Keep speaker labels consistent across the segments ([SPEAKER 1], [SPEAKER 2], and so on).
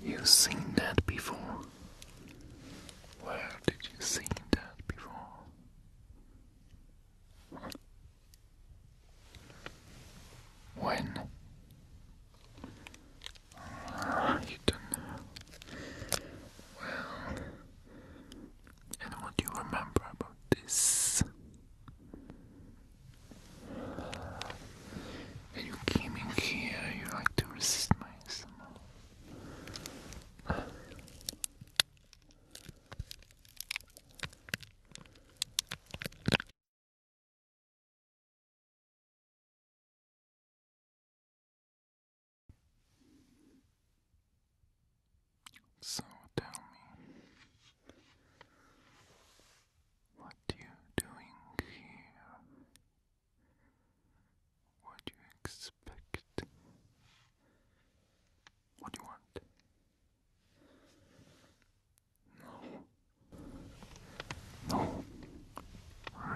[SPEAKER 1] You've seen that before? Where did you see that before? When? Ah, you don't know. Well, and what do you remember about this? you came in here, you like to resist my ASMR. So tell me, what you doing here? What do you expect? What do you want? No. No.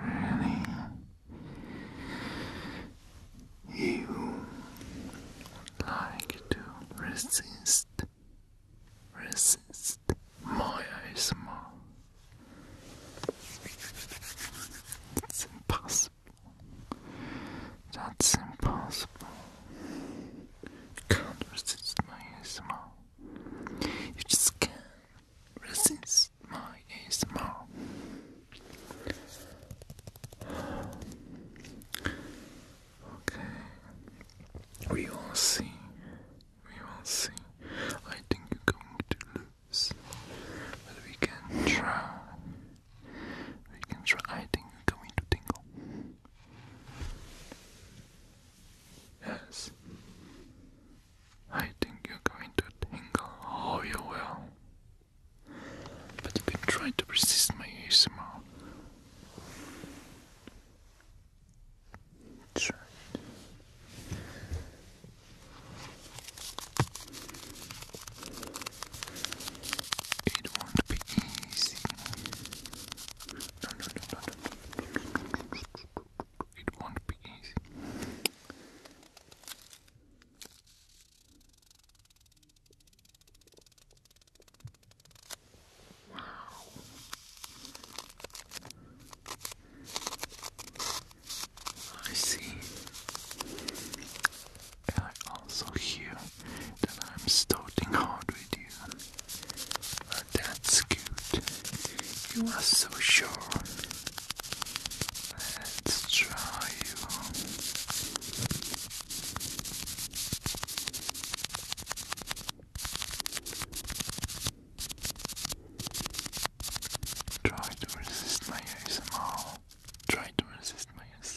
[SPEAKER 1] Really? You like to resist resist my ASMR. It's impossible. That's impossible. Can't resist my ASMR. You just can't resist my ASMR. Okay, we will see we will see. I think you're going to lose. But we can try. We can try. I think you're going to tingle. Yes. I think you're going to tingle. Oh, you will. But you have been trying to resist my ASMR. It won't be easy. No, no, no, no, no. It won't be easy. I see. I also hear that I'm starting hard with you. Uh, that's good. You are so sure. Let's try Try to resist my ASMR. Try to resist my ASMR.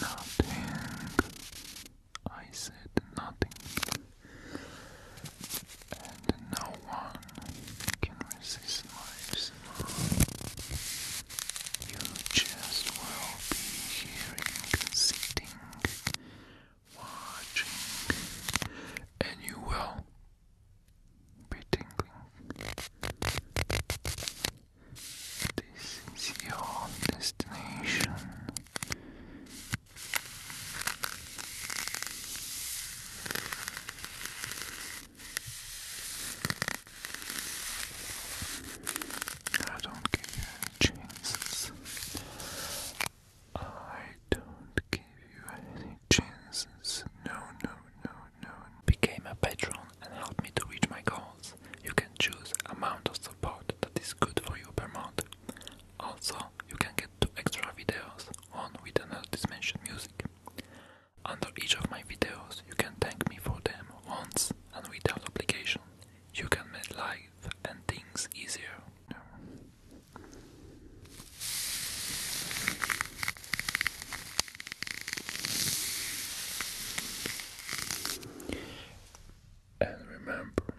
[SPEAKER 1] Nothing. I said nothing. And no one can resist my smile. You just will be hearing, sitting, watching, and you will be tingling. This is your destination. I don't give you chances. I don't give you any chances. No, no, no known, became a patron and help me to reach my goals. You can choose amount of support that is good for you per month. Also, you can get two extra videos, on with another mentioned music. Under each of my videos, you can thank me for them once and without obligation. You can make life and things easier. And remember,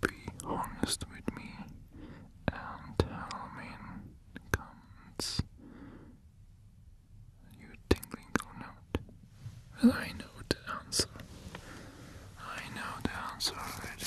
[SPEAKER 1] be honest with me and Halloween comes. You tingling or not? I know the answer. I know the answer already.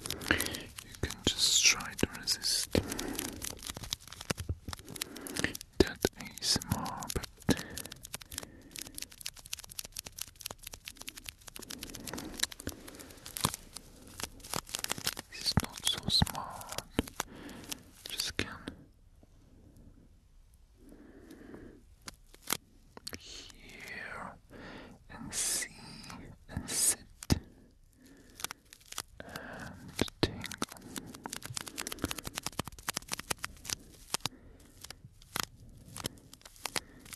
[SPEAKER 1] You can just try to resist that ASMR, but it's not so smart. Just can. Here and see and sit and tingle.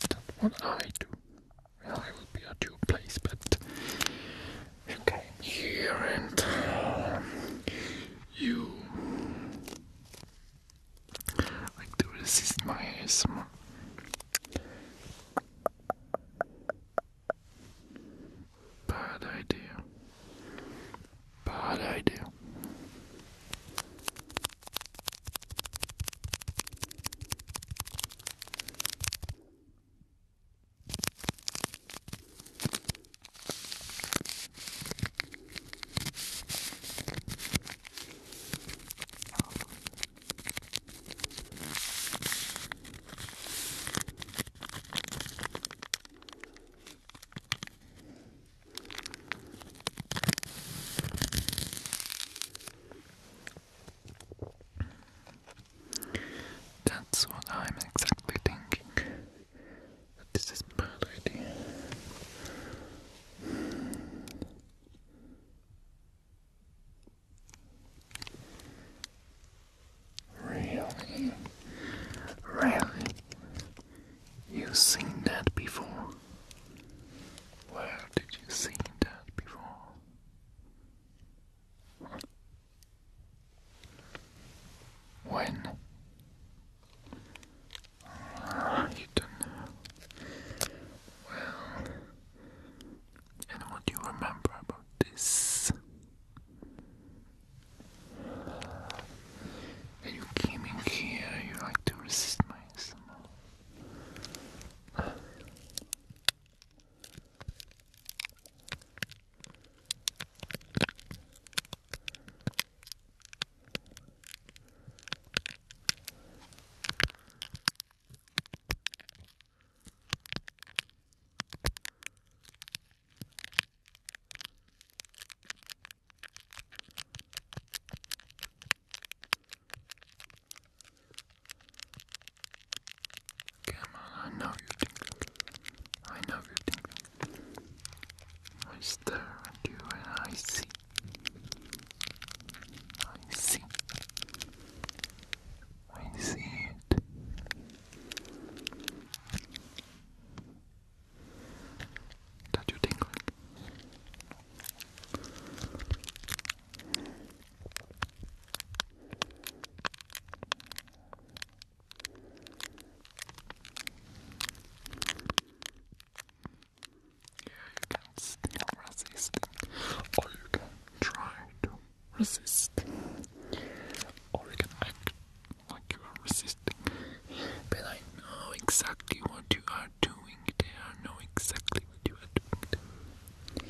[SPEAKER 1] That's what I do. I will be at your place, but you here and you. Like, dude, this my ASMR. Bad idea. Bad idea. That's what I'm exactly thinking. This is bad idea. Really? Really? You've seen that before? Where did you see that before? When you don't know. Well, and what do you remember about this? When you came in here, you like to resist my smell. Come on, I know you think I know you're thinking. I stare at you and I see. I see. I see it. That you're yeah, you can still resist, or you can try to resist, or you can act like you are resisting. But I know exactly what you are doing there. I know exactly what you are doing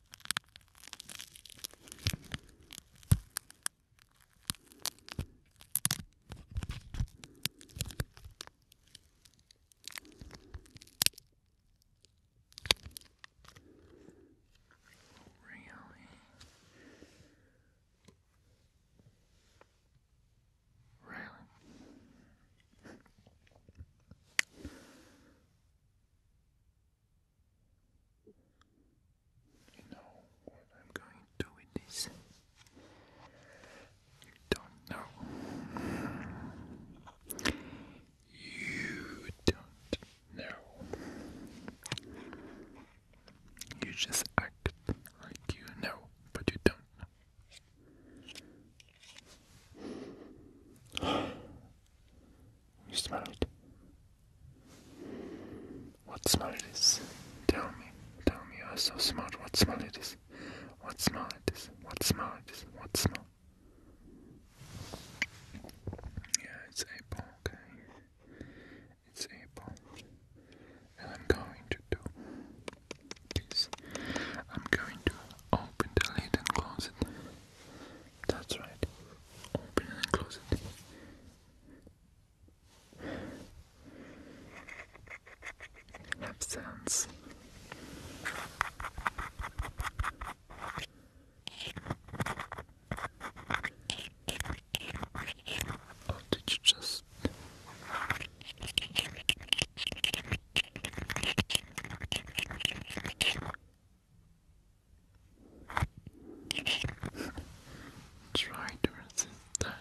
[SPEAKER 1] Really? Really? You know what I'm going to do with this? You don't know. You don't know. You just act like you know, but you don't know. You smell it. What smell it is? Tell me. Tell me you are so smart. What smell it is? What smell it is? What smell it is? What smell? Yeah, it's apple, okay. It's apple. And I'm going to do this. I'm going to open the lid and close it. That's right. Open it and close it. Have sense. did you just? Try to resist that.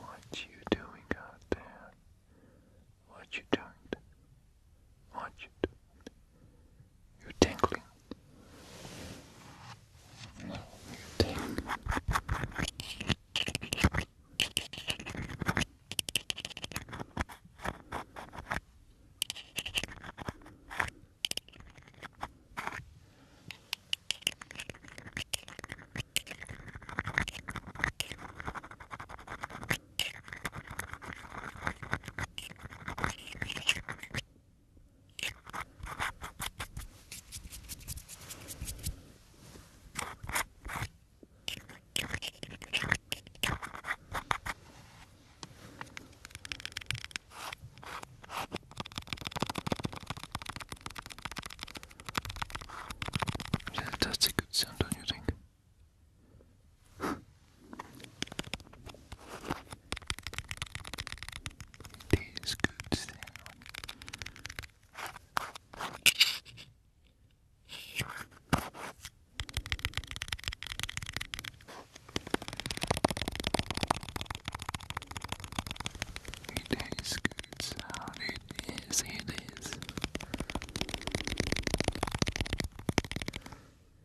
[SPEAKER 1] What you doing out there? What you doing? Watch it. You're tingling. No, you're tingling. Yeah, that's a good sound, don't you think? It is good sound. It is good sound. It is. It is.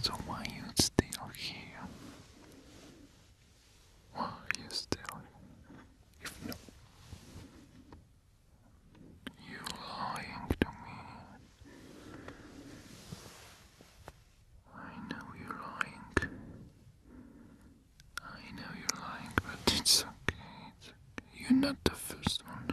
[SPEAKER 1] so why you still here? Why you still If no you lying to me. I know you're lying. I know you're lying, but It's okay. You're not the first one.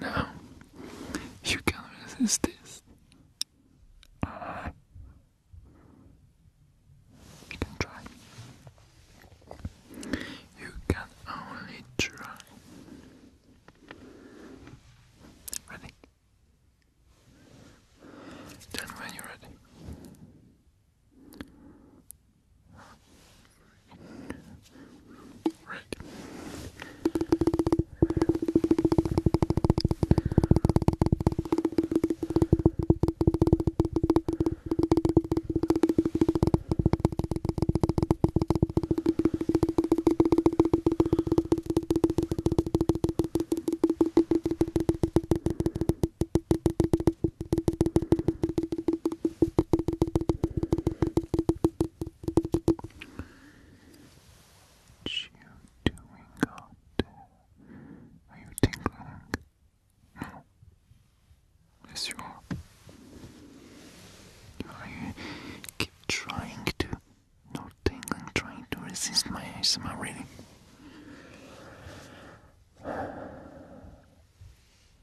[SPEAKER 1] No, you can't resist this. you can try. You can only try. Ready? Then when you're ready. Right. What you doing out there? Are you tingling? No. Yes, you are. I keep trying to nor tingling trying to resist my ASMR reading.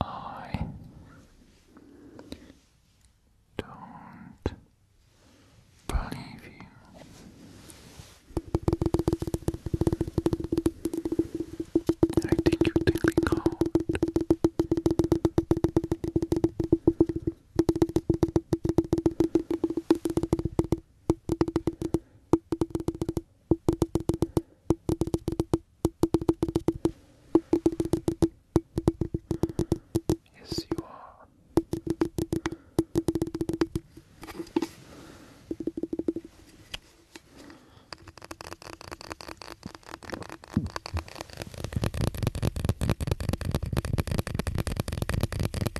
[SPEAKER 1] I don't believe you. I think you're tingling cold. Yes, you are.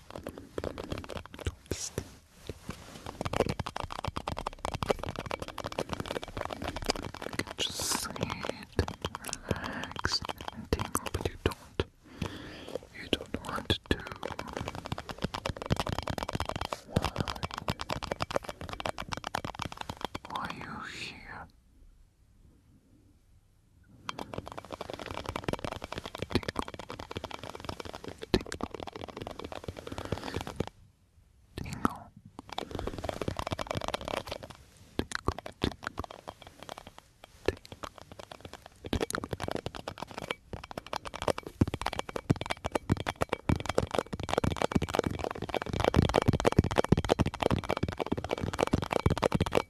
[SPEAKER 1] just sit, relax, and tingle, but you don't. You don't want to. Why are you here? Tingle. Tingle.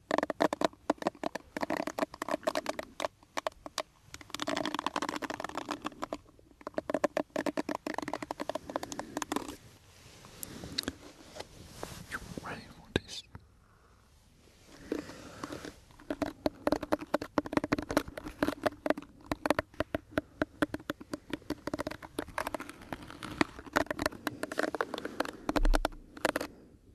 [SPEAKER 1] You ready for this?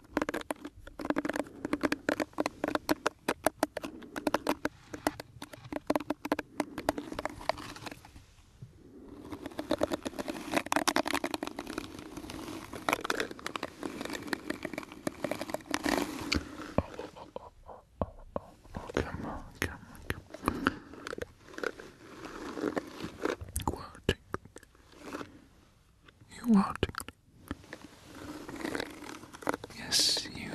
[SPEAKER 1] oh, oh, oh, oh, oh, oh, come on, come on, come on. You are tingling. You are tingling. Yes, you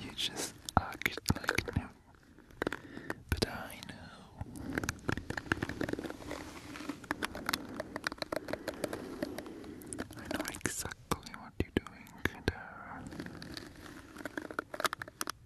[SPEAKER 1] You just act like no. But I know. I know exactly what you're doing,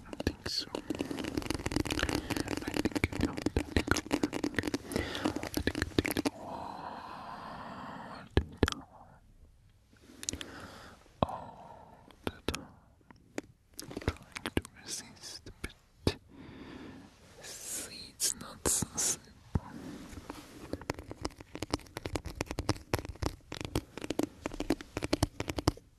[SPEAKER 1] I think so. I think you do I think you do I think you think. Oh, the time. All the time. trying to resist a it's not so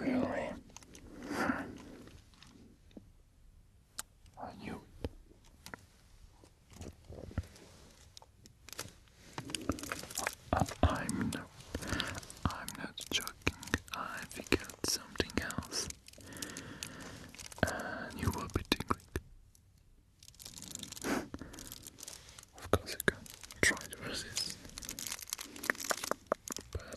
[SPEAKER 1] Really? Are you? I, am I'm not joking. I figured something else, and you will be tingling. of course, you can try to resist, but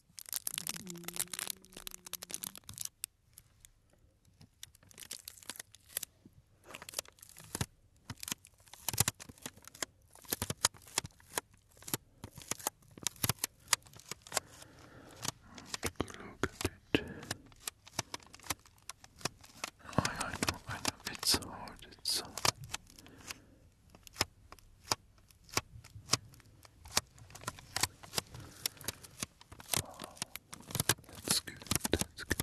[SPEAKER 1] Look at it. I, I know, I know, it's hard, it's hard. Oh, that's good. That's good.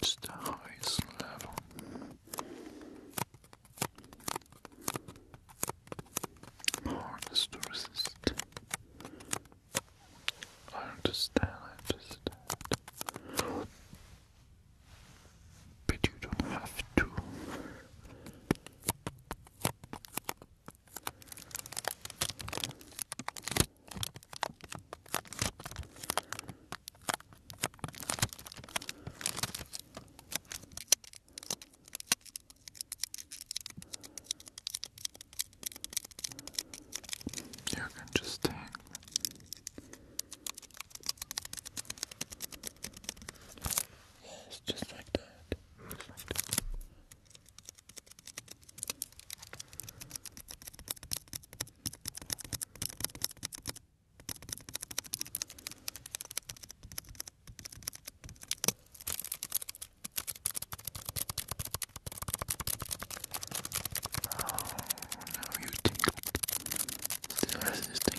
[SPEAKER 1] It's the highest level. Hardest to resist. I understand, I understand. But you don't have to. You can just hang. Yes, Just like that. Oh, now you tingle. Still resisting.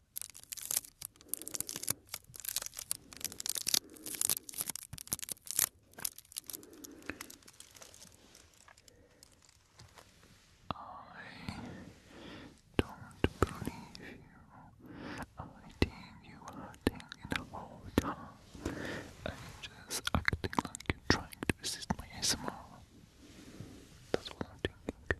[SPEAKER 1] I don't believe you. I think you are thinking the whole time. I'm just acting like trying to resist my ASMR. That's what I'm thinking.